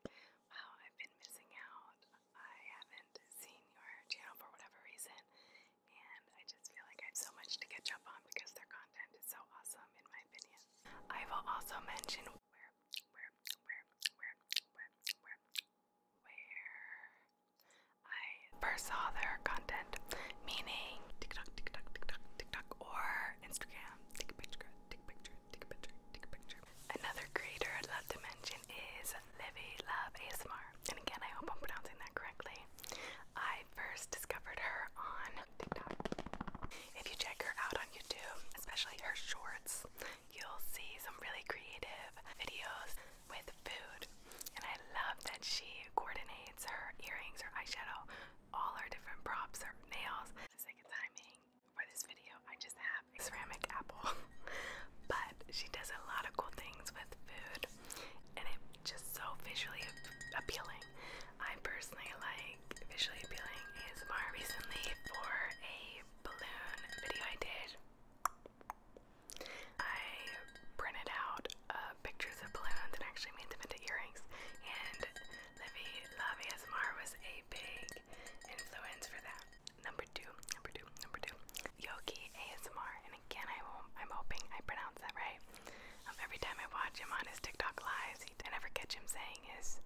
wow, I've been missing out. I haven't seen your channel for whatever reason, and I just feel like I have so much to catch up on because their content is so awesome, in my opinion. I will also mention where, where, where, where, where, where, I first saw their content, meaning TikTok, TikTok, TikTok, TikTok, or Instagram. Take a take a Another creator I'd love to mention is Livy Love ASMR. And again, I hope I'm pronouncing that correctly. I first discovered her on TikTok. If you check her out on YouTube, especially her shorts, you'll see some really creative videos with food. And I love that she coordinates her earrings, her eyeshadow, all our different props are nails. For timing for this video, I just have a ceramic apple. but she does a lot of cool things with food and it's just so visually appealing. I personally like visually appealing ASMR recently for a balloon video I did. I printed out uh, pictures of balloons and actually made them into earrings. And Livy Love ASMR was a big influence for that. Number two, number two, number two, Yogi ASMR. And again, I won't, I'm hoping I pronounce that right. Um, every time I watch him on his TikTok lives, he, I never catch him saying his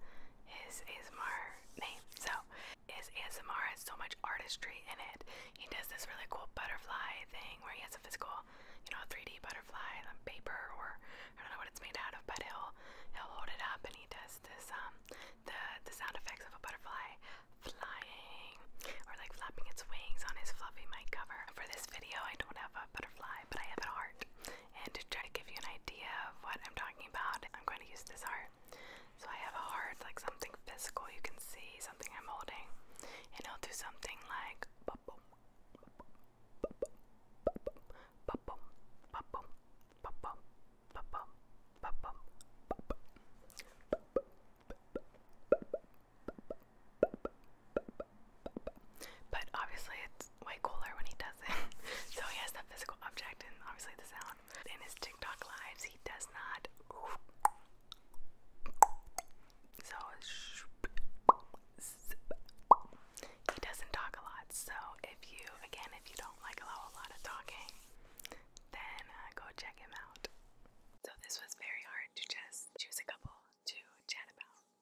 his ASMR name. So his ASMR has so much artistry in it. He does this really cool butterfly thing where he has a physical, you know, 3D butterfly on paper or I don't know what it's made out of, but he'll he'll hold it up and he does this um the the sound effects of a butterfly flying or like flapping its wings on his fluffy mic cover. For this video I don't have a butterfly, but I have an art. And to try to give you an idea of what I'm talking about, I'm going to use this art. So I have a heart, like something physical you can see, something I'm holding, and I'll do something like But obviously, it's way cooler when he does it. so he has that physical object and obviously the sound. In his TikTok lives, he does not. So he doesn't talk a lot. So if you, again, if you don't like allow a lot of talking, then uh, go check him out. So this was very hard to just choose a couple to chat about.